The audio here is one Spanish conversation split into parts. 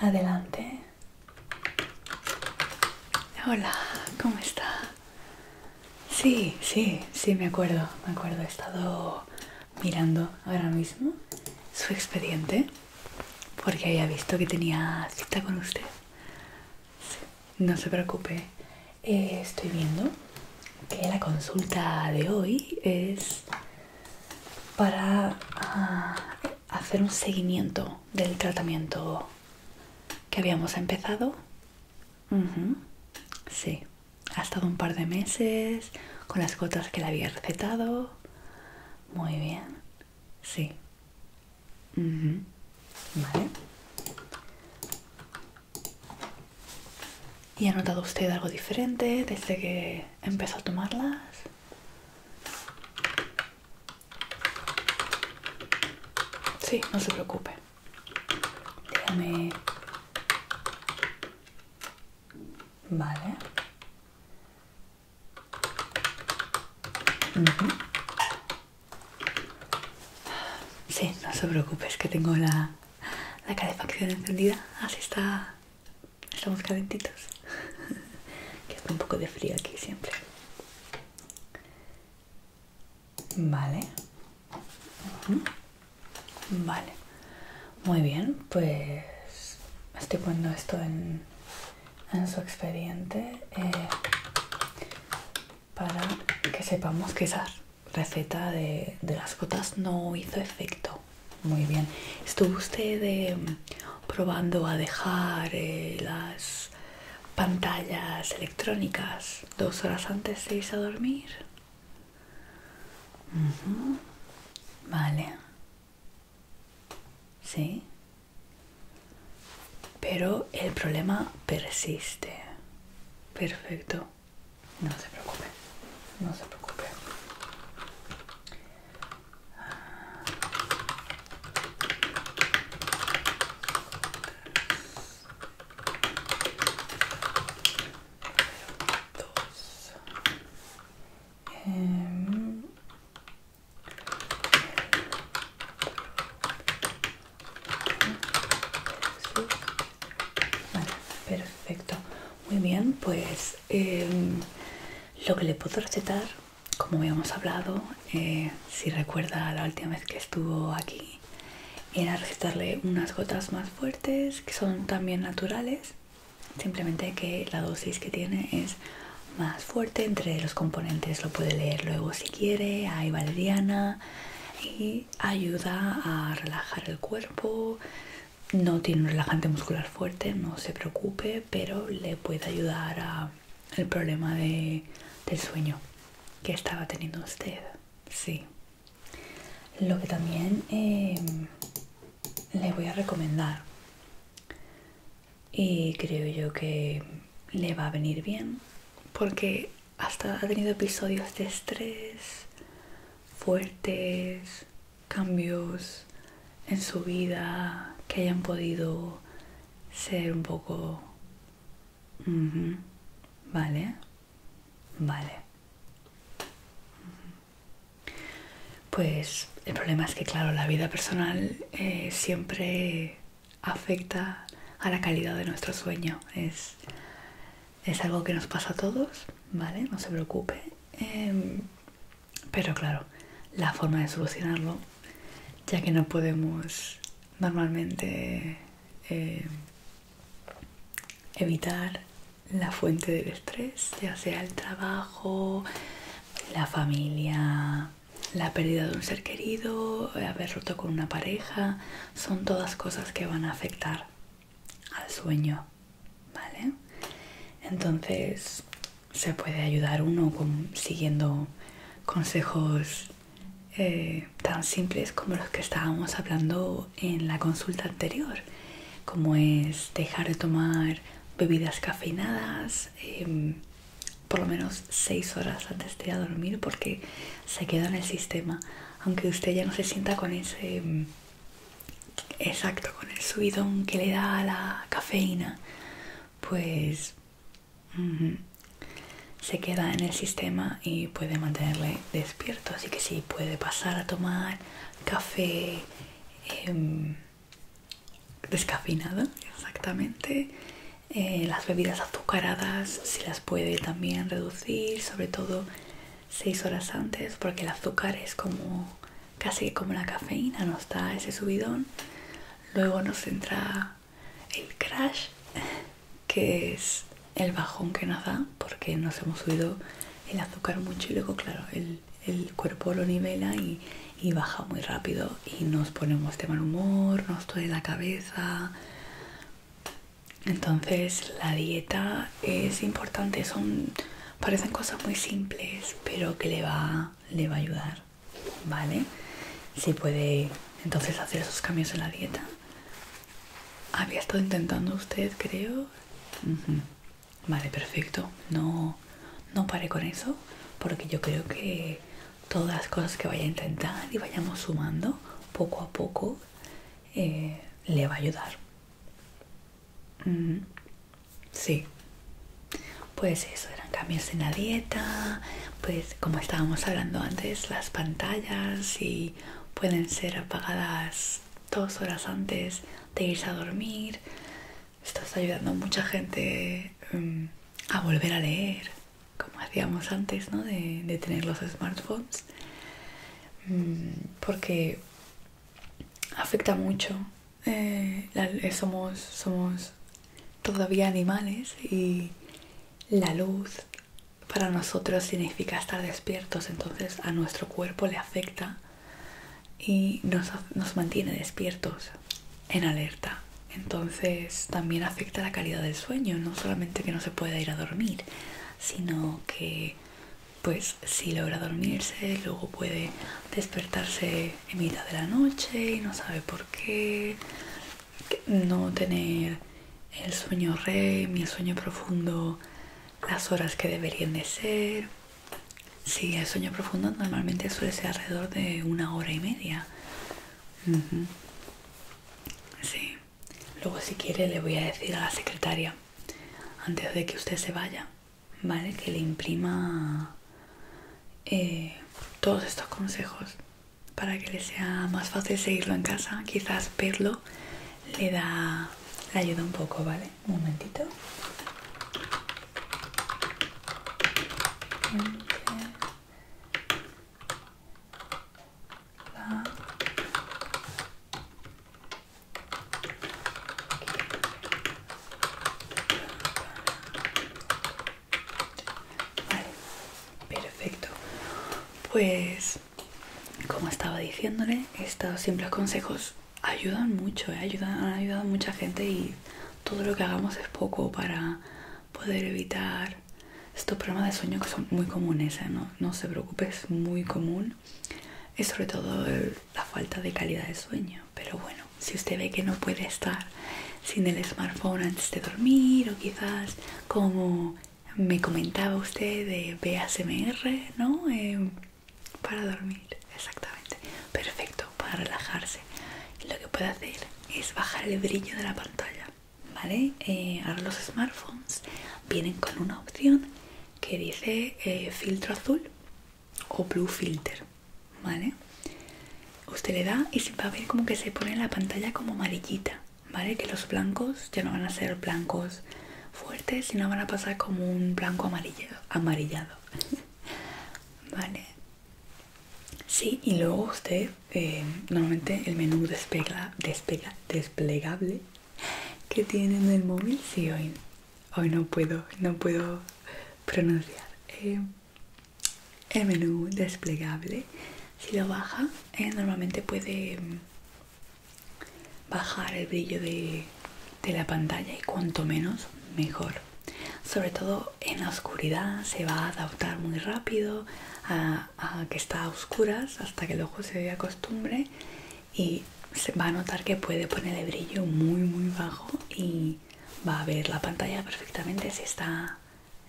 Adelante. Hola, ¿cómo está? Sí, sí, sí, me acuerdo, me acuerdo. He estado mirando ahora mismo su expediente porque había visto que tenía cita con usted. No se preocupe. Eh, estoy viendo que la consulta de hoy es para ah, hacer un seguimiento del tratamiento que habíamos empezado. Sí, ha estado un par de meses con las gotas que le había recetado. Muy bien. Sí, mhm Vale. ¿Y ha notado usted algo diferente desde que empezó a tomarlas? Sí, no se preocupe. Déjame... Vale. Sí, no se preocupes, que tengo la, calefacción encendida. Así está. Estamos calentitos. que está un poco de frío aquí siempre. Vale. Vale. Muy bien, pues estoy poniendo esto en en su expediente eh, para que sepamos que esa receta de, las gotas no hizo efecto. Muy bien. ¿Estuvo usted em, probando a dejar eh, las pantallas electrónicas dos horas antes de irse a dormir? Vale. Sí. Pero el problema persiste. Perfecto. No se preocupe. No se preocupe. Ah. Em, perfecto. Muy bien, pues em, lo que le puedo recetar, como habíamos hablado, eh, si recuerda la última vez que estuvo aquí, era recetarle unas gotas más fuertes que son también naturales. Simplemente que la dosis que tiene es más fuerte entre los componentes lo puede leer luego si quiere hay valeriana y ayuda a relajar el cuerpo no tiene un relajante muscular fuerte no se preocupe pero le puede ayudar a el problema del sueño que estaba teniendo usted sí lo que también em, le voy a recomendar y creo yo que le va a venir bien porque hasta ha tenido episodios de estrés fuertes, cambios en su vida que hayan podido ser un poco... Vale, vale. Pues el problema es que, claro, la vida personal eh, siempre afecta a la calidad de nuestro sueño. Es, algo que nos pasa a todos, ¿vale? No se preocupe. Em, pero claro, la forma de solucionarlo, ya que no podemos normalmente em, evitar la fuente del estrés, ya sea el trabajo, la familia, la pérdida de un ser querido, haber roto con una pareja, son todas cosas que van a afectar al sueño, ¿vale? Entonces se puede ayudar uno siguiendo consejos eh, tan simples como los que estábamos hablando en la consulta anterior, como es dejar de tomar bebidas cafeinadas, em, por lo menos seis horas antes de ir a dormir porque se queda en el sistema aunque usted ya no se sienta con ese mm, exacto con el subidón que le da la cafeína pues se queda en el sistema y puede mantenerle despierto así que si puede pasar a tomar café em, descafeinada, exactamente. Eh, las bebidas azucaradas, si las puede también reducir, sobre todo 6 horas antes, porque el azúcar es como casi como la cafeína, nos da ese subidón. Luego nos entra el crash, que es el bajón que nos da, porque nos hemos subido el azúcar mucho y luego, claro, el, el cuerpo lo nivela y y baja muy rápido y nos ponemos de mal humor, nos duele la cabeza. Entonces la dieta es importante, son parecen cosas muy simples, pero que le va, le va a ayudar, ¿vale? Si puede entonces hacer esos cambios en la dieta. Había estado intentando usted, creo. Vale, perfecto. No, no pare con eso, porque yo creo que todas las cosas que vaya a intentar y vayamos sumando poco a poco eh, le va a ayudar. Mm, sí, pues eso, eran cambios en la dieta, pues como estábamos hablando antes, las pantallas y pueden ser apagadas dos horas antes de irse a dormir estás ayudando a mucha gente em, a volver a leer, como hacíamos antes, ¿no? De, tener los smartphones, mm, porque afecta mucho. Eh, eh, somos, somos todavía animales y la luz para nosotros significa estar despiertos, entonces a nuestro cuerpo le afecta y nos, nos mantiene despiertos en alerta. Entonces también afecta la calidad del sueño, no solamente que no se pueda ir a dormir, sino que pues si logra dormirse, luego puede despertarse en mitad de la noche y no sabe por qué, no tener el sueño REM el sueño profundo las horas que deberían de ser. si el sueño profundo normalmente suele ser alrededor de una hora y media. Sí. Luego si quiere le voy a decir a la secretaria, antes de que usted se vaya, ¿vale? Que le imprima eh, todos estos consejos para que le sea más fácil seguirlo en casa. Quizás verlo le da... ayuda un poco, ¿vale? Un momentito perfecto. Pues, como estaba diciéndole, estos simples consejos ayudan mucho, eh, ayudan, han ayudado a mucha gente y todo lo que hagamos es poco para poder evitar estos problemas de sueño que son muy comunes, ¿eh? no, se preocupe, es muy común. Es sobre todo la falta de calidad de sueño. Pero bueno, si usted ve que no puede estar sin el smartphone antes de dormir o quizás como me comentaba usted de BASMR, ¿no? Eh, para dormir, exactamente. Perfecto para relajarse lo que puede hacer es bajar el brillo de la pantalla vale eh, ahora los smartphones vienen con una opción que dice eh, filtro azul o blue filter vale usted le da y se va a ver como que se pone la pantalla como amarillita vale que los blancos ya no van a ser blancos fuertes sino van a pasar como un blanco amarillado amarillado vale Sí, y luego usted, eh, normalmente el menú desplegable que tiene en el móvil, si hoy, no puedo, no puedo pronunciar. Eh, el menú desplegable, si lo baja, eh, normalmente puede mm, bajar el brillo de la pantalla y cuanto menos, mejor. Sobre todo en la oscuridad se va a adaptar muy rápido a, que está a oscuras hasta que el ojo se costumbre y se va a notar que puede poner el brillo muy muy bajo y va a ver la pantalla perfectamente si está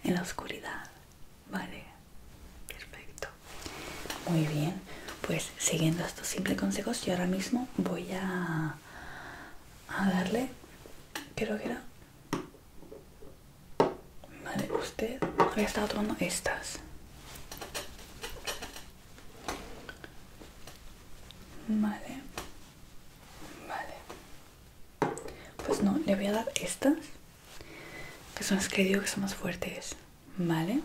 en la oscuridad. Vale, perfecto. Muy bien, pues siguiendo estos simples consejos yo ahora mismo voy a, a darle, creo que era Vale, usted había estado tomando estas. Vale. Vale. Pues no, le voy a dar estas. Que son las que digo que son más fuertes. Vale.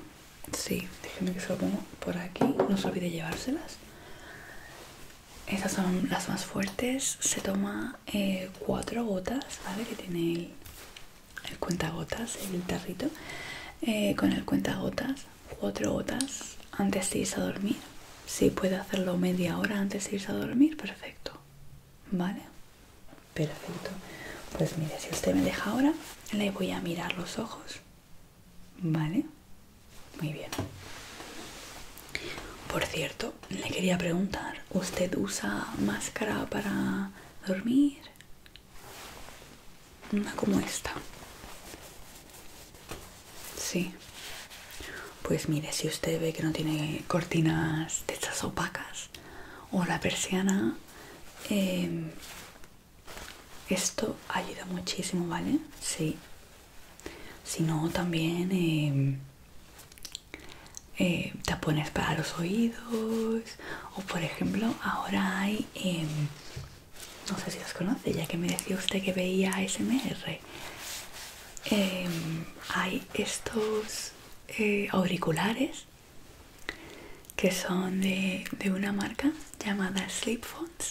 Sí, déjeme que se lo pongo por aquí. No se olvide llevárselas. Esas son las más fuertes. Se toma eh, cuatro gotas, ¿vale? Que tiene el, cuentagotas, el tarrito. Eh, con el cuentagotas, cuatro gotas antes de irse a dormir. Si puede hacerlo media hora antes de irse a dormir, perfecto. ¿Vale? Perfecto. Pues mire, si usted me deja ahora, le voy a mirar los ojos. ¿Vale? Muy bien. Por cierto, le quería preguntar, ¿usted usa máscara para dormir? Una como esta. Sí. Pues mire, si usted ve que no tiene cortinas de estas opacas o la persiana, eh, esto ayuda muchísimo, ¿vale? Sí sino también em, eh, tapones para los oídos o por ejemplo ahora hay em, no sé si los conoce ya que me decía usted que veía ASMR em, hay estos eh, auriculares que son de, de una marca llamada Sleep Phones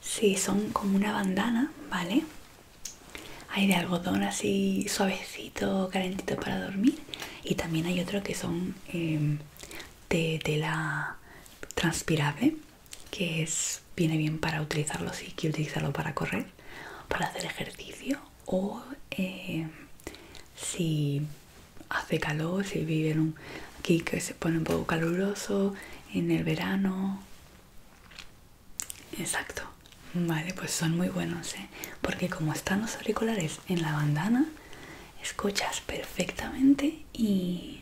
Sí, son como una bandana, ¿vale? Hay de algodón así suavecito, calentito para dormir. Y también hay otro que son em, de tela transpirable, que es, viene bien para utilizarlo si sí, que utilizarlo para correr, para hacer ejercicio o em, si hace calor, si vive en un, aquí que se pone un poco caluroso en el verano. Exacto. Vale, pues son muy buenos, ¿eh? Porque como están los auriculares en la bandana, escuchas perfectamente y,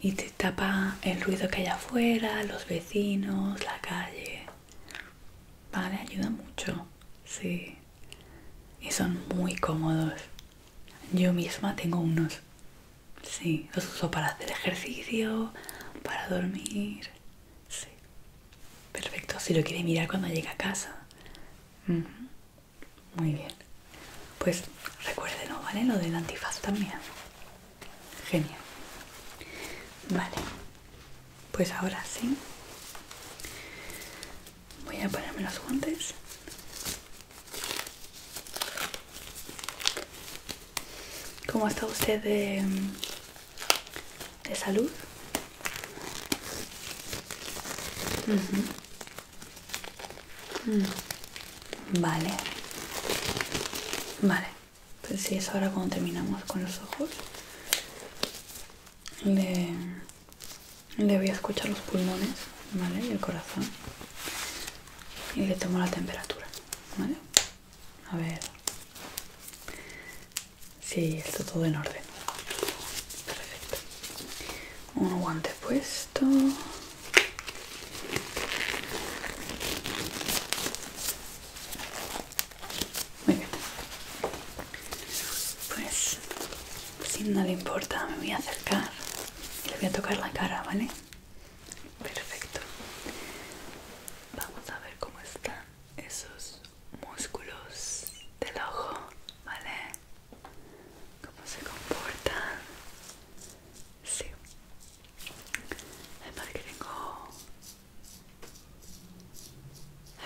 y te tapa el ruido que hay afuera, los vecinos, la calle. Vale, ayuda mucho. Sí. Y son muy cómodos. Yo misma tengo unos. Sí, los uso para hacer ejercicio, para dormir. Sí. Perfecto, si lo quiere mirar cuando llega a casa. Muy bien. Pues recuérdenlo, ¿vale? Lo del antifaz también. Genial. Vale. Pues ahora sí. Voy a ponerme los guantes. ¿Cómo está usted de, salud? Vale. Vale. Pues si es ahora cuando terminamos con los ojos, le, le voy a escuchar los pulmones, ¿vale? Y el corazón. Y le tomo la temperatura. ¿Vale? A ver si sí, está todo en orden. Perfecto. Un guante puesto. Muy bien. Pues si no le importa me voy a acercar y le voy a tocar la cara, ¿vale? Perfecto. Vamos a ver cómo están esos músculos del ojo, ¿vale? ¿Cómo se comportan? Sí. Además que tengo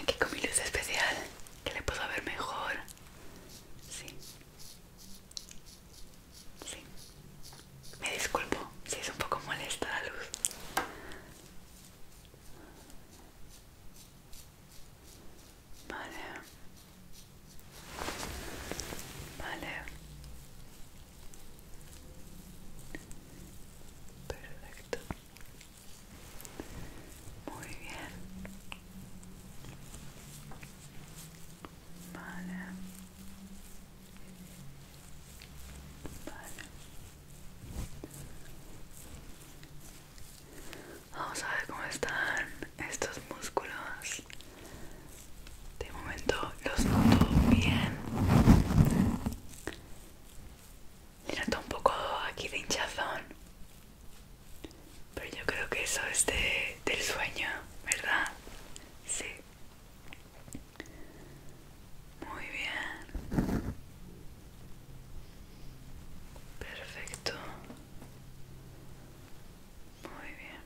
aquí con mi luz especial que le puedo ver mejor. Sí. Sí. Me disculpo si es un poco molesta la luz. Vale. Vale. Perfecto. Muy bien. Vale. Vale. Vamos a ver cómo están estos músculos. De momento los noto bien. Le noto un poco aquí de hinchazón. Pero yo creo que eso es de, del sueño, ¿verdad? Sí. Muy bien. Perfecto. Muy bien.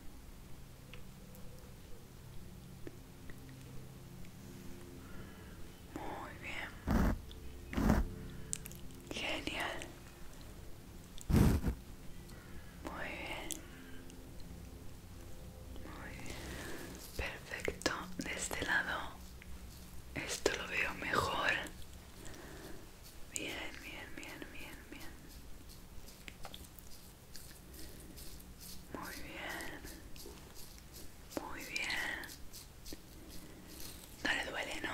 Muy bien. Genial. Muy bien. Muy Perfecto. De este lado esto lo veo mejor. Bien, bien, bien, bien, bien. Muy bien. Muy bien. No le duele, ¿no?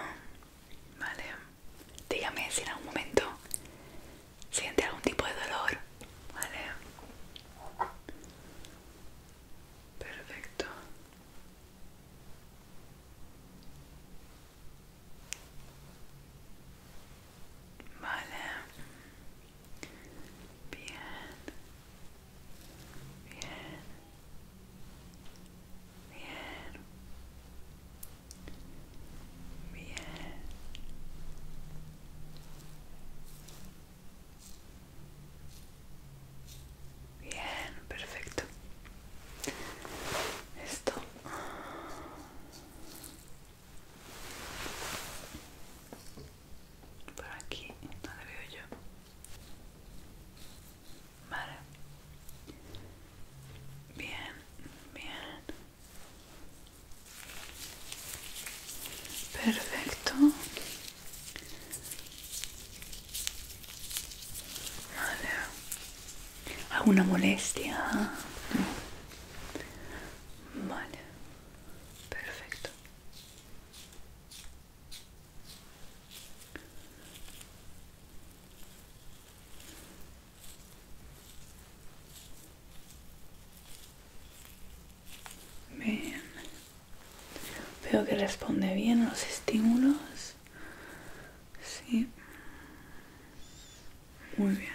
Vale. Dígame si en algún momento siente algún tipo de dolor, ¿vale? Perfecto. Vale. Bien. Bien. Bien. Bien. Bien, perfecto. Esto. Por aquí no le veo yo. Vale. Bien, bien. Perfecto. Vale. ¿Alguna ah, molestia? Vale. Perfecto. Bien. Veo que responde bien a los estímulos. Sí. Muy bien.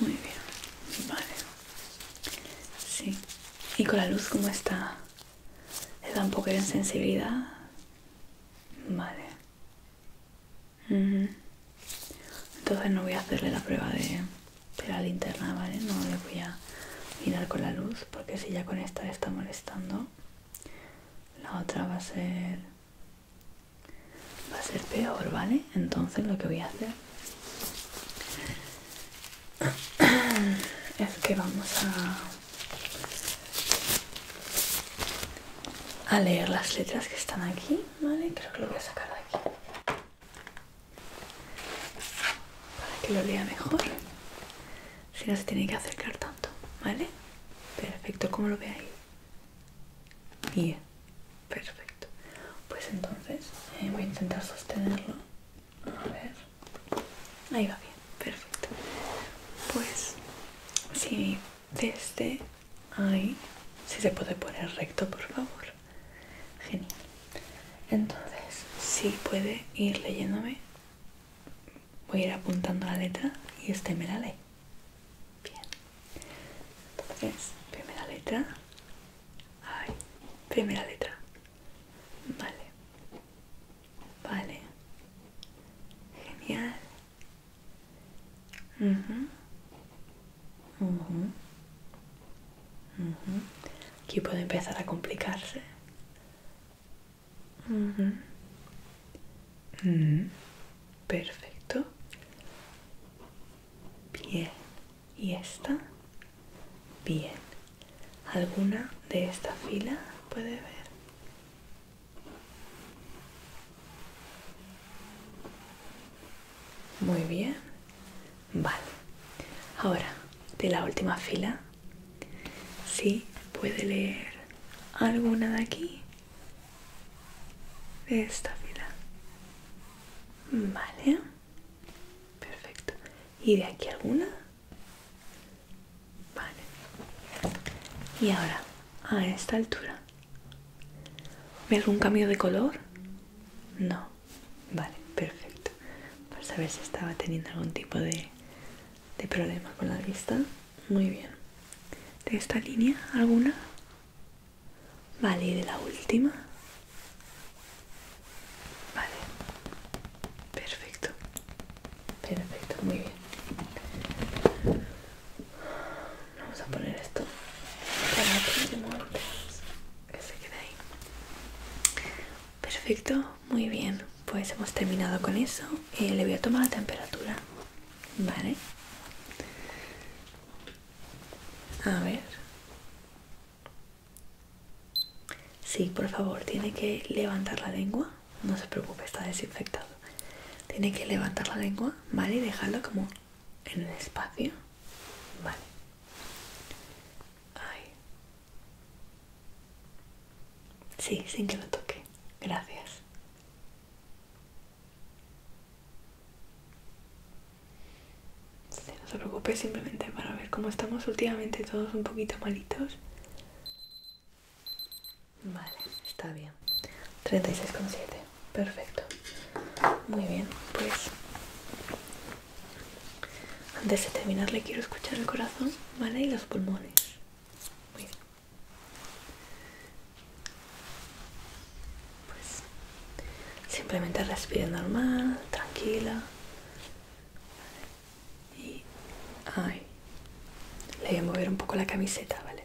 Muy bien. Vale. Sí. ¿Y con la luz como está? ¿Le da un poco de sensibilidad? Vale. Entonces no voy a hacerle la prueba de, la linterna, ¿vale? No le voy a mirar con la luz porque si ya con esta le está molestando, la otra va a ser va a ser peor, ¿vale? Entonces lo que voy a hacer es que vamos a a leer las letras que están aquí ¿vale? Creo que lo voy a sacar de aquí. Para que lo lea mejor. Si no se tiene que acercar tanto, ¿vale? Perfecto, ¿cómo lo ve ahí? Bien, perfecto. Pues entonces eh, voy a intentar sostenerlo. A ver. Ahí va bien, perfecto. Pues Si desde ahí si se puede poner recto por favor genial entonces si puede ir leyéndome voy a ir apuntando la letra y este me la lee bien entonces primera letra Ay, primera letra vale vale genial Aquí puede empezar a complicarse. Mm. Perfecto. Bien. ¿Y esta? Bien. ¿Alguna de esta fila puede ver? Muy bien. Vale. Ahora, de la última fila, si puede leer alguna de aquí? De esta fila. Vale. Perfecto. ¿Y de aquí alguna? Vale. Y ahora, a esta altura, ¿Ve algún cambio de color? No. Vale, perfecto. Para saber si estaba teniendo algún tipo de, de problema con la vista. Muy bien. ¿De esta línea alguna? Vale, y de la última. Vale. Perfecto. Perfecto, muy bien. Vamos a poner esto para que que se Perfecto, muy bien. Pues hemos terminado con eso. Y eh, le voy a tomar la temperatura. Vale. A ver. Sí, por favor, tiene que levantar la lengua. No se preocupe, está desinfectado. Tiene que levantar la lengua, ¿vale? Y dejarlo como en el espacio. Vale. Ay. Sí, sin que lo toque. Gracias. no se preocupe, simplemente para ver cómo estamos últimamente todos un poquito malitos. Vale, está bien. 36,7 perfecto muy bien pues antes de terminar le quiero escuchar el corazón vale y los pulmones muy bien pues simplemente respire normal tranquila y ay le voy a mover un poco la camiseta vale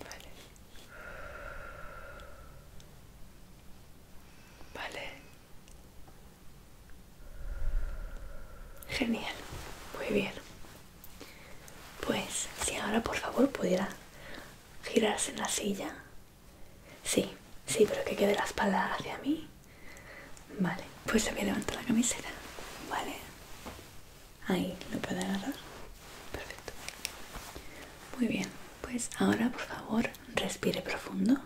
Vale. Vale. Genial. Muy bien. Pues si ahora por favor pudiera girarse en la silla. Sí, sí, pero que quede la espalda hacia mí. Vale, pues se me levanta la camiseta. Vale. Ahí, lo puedo agarrar. Perfecto. Muy bien, pues ahora por favor respire profundo.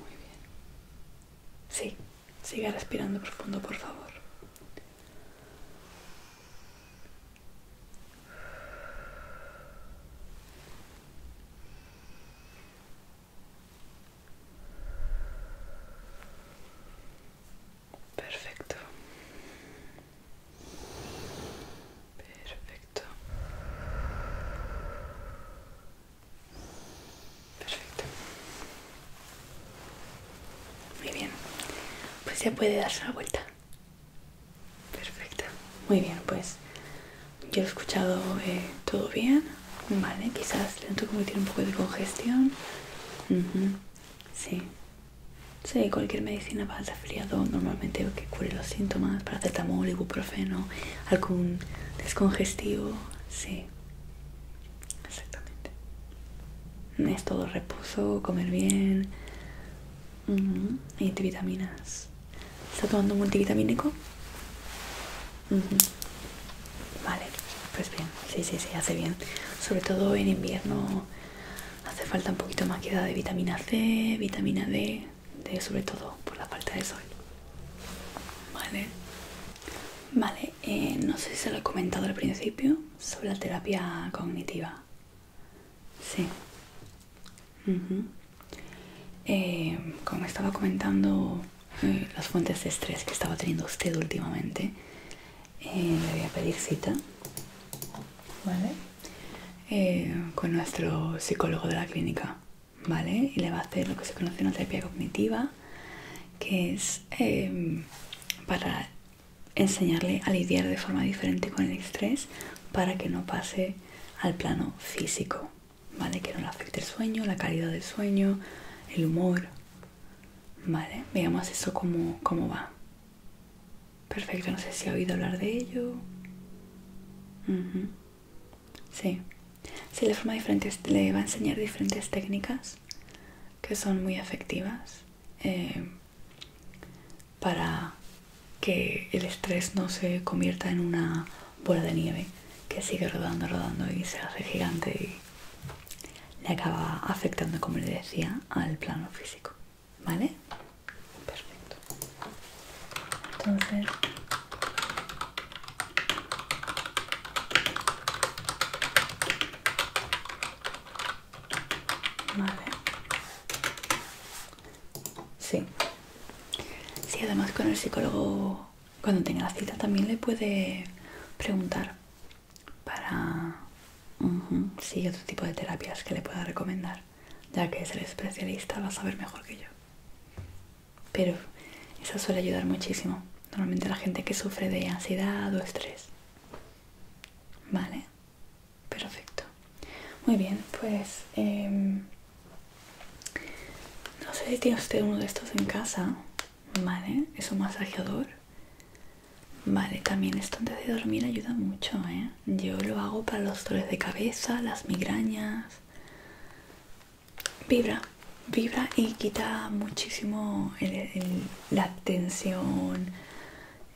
Muy bien. Sí, siga respirando profundo, por favor. Perfecto. Perfecto. Perfecto. Muy bien. Pues ya puede darse una vuelta. Perfecta. Muy bien, pues yo he escuchado eh, todo bien. Vale, quizás le como tiene un poco de congestión. Sí. cualquier medicina para el resfriado normalmente que cure los síntomas, paracetamol, ibuprofeno, algún descongestivo, sí. Exactamente. Es todo reposo, comer bien y vitaminas. ¿Está tomando multivitamínico? Vale, pues bien, sí, sí, sí, hace bien. Sobre todo en invierno hace falta un poquito más que de vitamina C, vitamina D, sobre todo por la falta de sol. Vale, vale, eh, no sé si se lo he comentado al principio sobre la terapia cognitiva. Sí, eh, como estaba comentando eh, las fuentes de estrés que estaba teniendo usted últimamente, eh, le voy a pedir cita, con nuestro psicólogo de la clínica, ¿vale? Y le va a hacer lo que se conoce una terapia cognitiva, que es para enseñarle a lidiar de forma diferente con el estrés para que no pase al plano físico, ¿vale? Que no le afecte el sueño, la calidad del sueño, el humor, ¿vale? Veamos eso como cómo va. Perfecto, no sé si ha oído hablar de ello. Sí. Sí, forma diferente le va a enseñar diferentes técnicas que son muy efectivas eh, para que el estrés no se convierta en una bola de nieve que sigue rodando, rodando y se hace gigante y le acaba afectando, como le decía, al plano físico. ¿Vale? Perfecto. Entonces... Vale. Sí, Sí, además con el psicólogo cuando tenga la cita también le puede preguntar para si hay otro tipo de terapias que le pueda recomendar, ya que es el especialista, va a saber mejor que yo. Pero eso suele ayudar muchísimo, normalmente la gente que sufre de ansiedad o estrés. Vale, perfecto. Muy bien, pues em, no sé si tiene usted uno de estos en casa, ¿vale? Es un masajeador. Vale, también esto antes de dormir ayuda mucho, ¿eh? Yo lo hago para los dolores de cabeza, las migrañas. Vibra, vibra y quita muchísimo la tensión,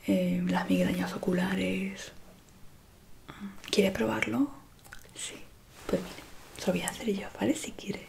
em, las migrañas oculares. ¿Quiere probarlo? Sí. Pues mire, lo voy a hacer yo, ¿vale? Si quiere.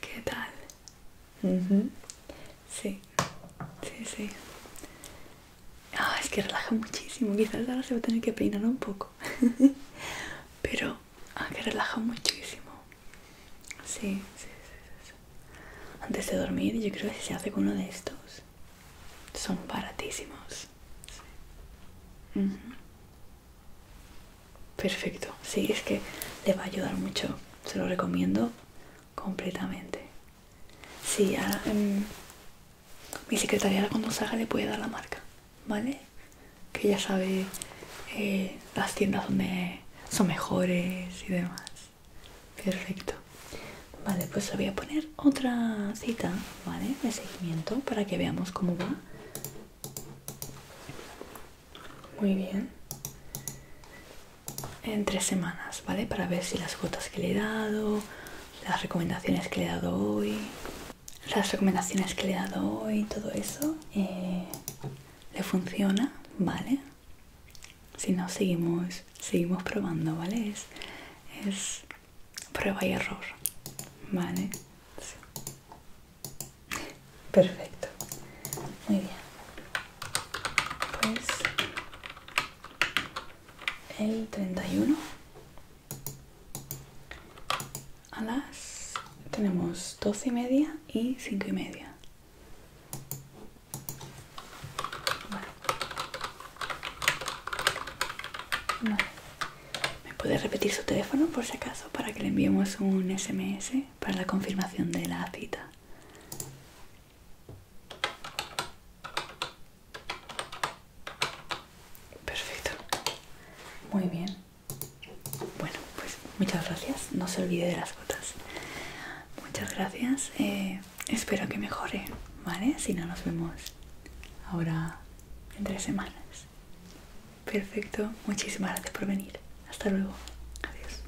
¿Qué tal? Sí, sí, sí. Ah, es que relaja muchísimo. Quizás ahora se va a tener que peinar un poco. Pero Ah, que relaja muchísimo. Sí, sí, sí, sí, Antes de dormir, yo creo que se hace con uno de estos. Son baratísimos. Perfecto. Sí, es que le va a ayudar mucho. Se lo recomiendo completamente. Sí, ahora, em, mi secretaria cuando salga le puede dar la marca, ¿vale? que ya sabe eh, las tiendas donde son mejores y demás. Perfecto. Vale, pues voy a poner otra cita, ¿vale? De seguimiento para que veamos cómo va. Muy bien. En tres semanas, ¿vale? Para ver si las gotas que le he dado, las recomendaciones que le he dado hoy, las recomendaciones que le he dado hoy, todo eso, eh, le funciona, ¿vale? Si no, seguimos, seguimos probando, ¿vale? Es, es prueba y error, ¿vale? Perfecto, muy bien. Pues el 31 a las tenemos 12 y media y cinco y media me puede repetir su teléfono por si acaso para que le enviemos un sms para la confirmación de la cita perfecto muy bien bueno, pues muchas gracias. No se olvide de las gotas. Muchas gracias. Eh, espero que mejore, ¿vale? Si no, nos vemos ahora en tres semanas. Perfecto. Muchísimas gracias por venir. Hasta luego. Adiós.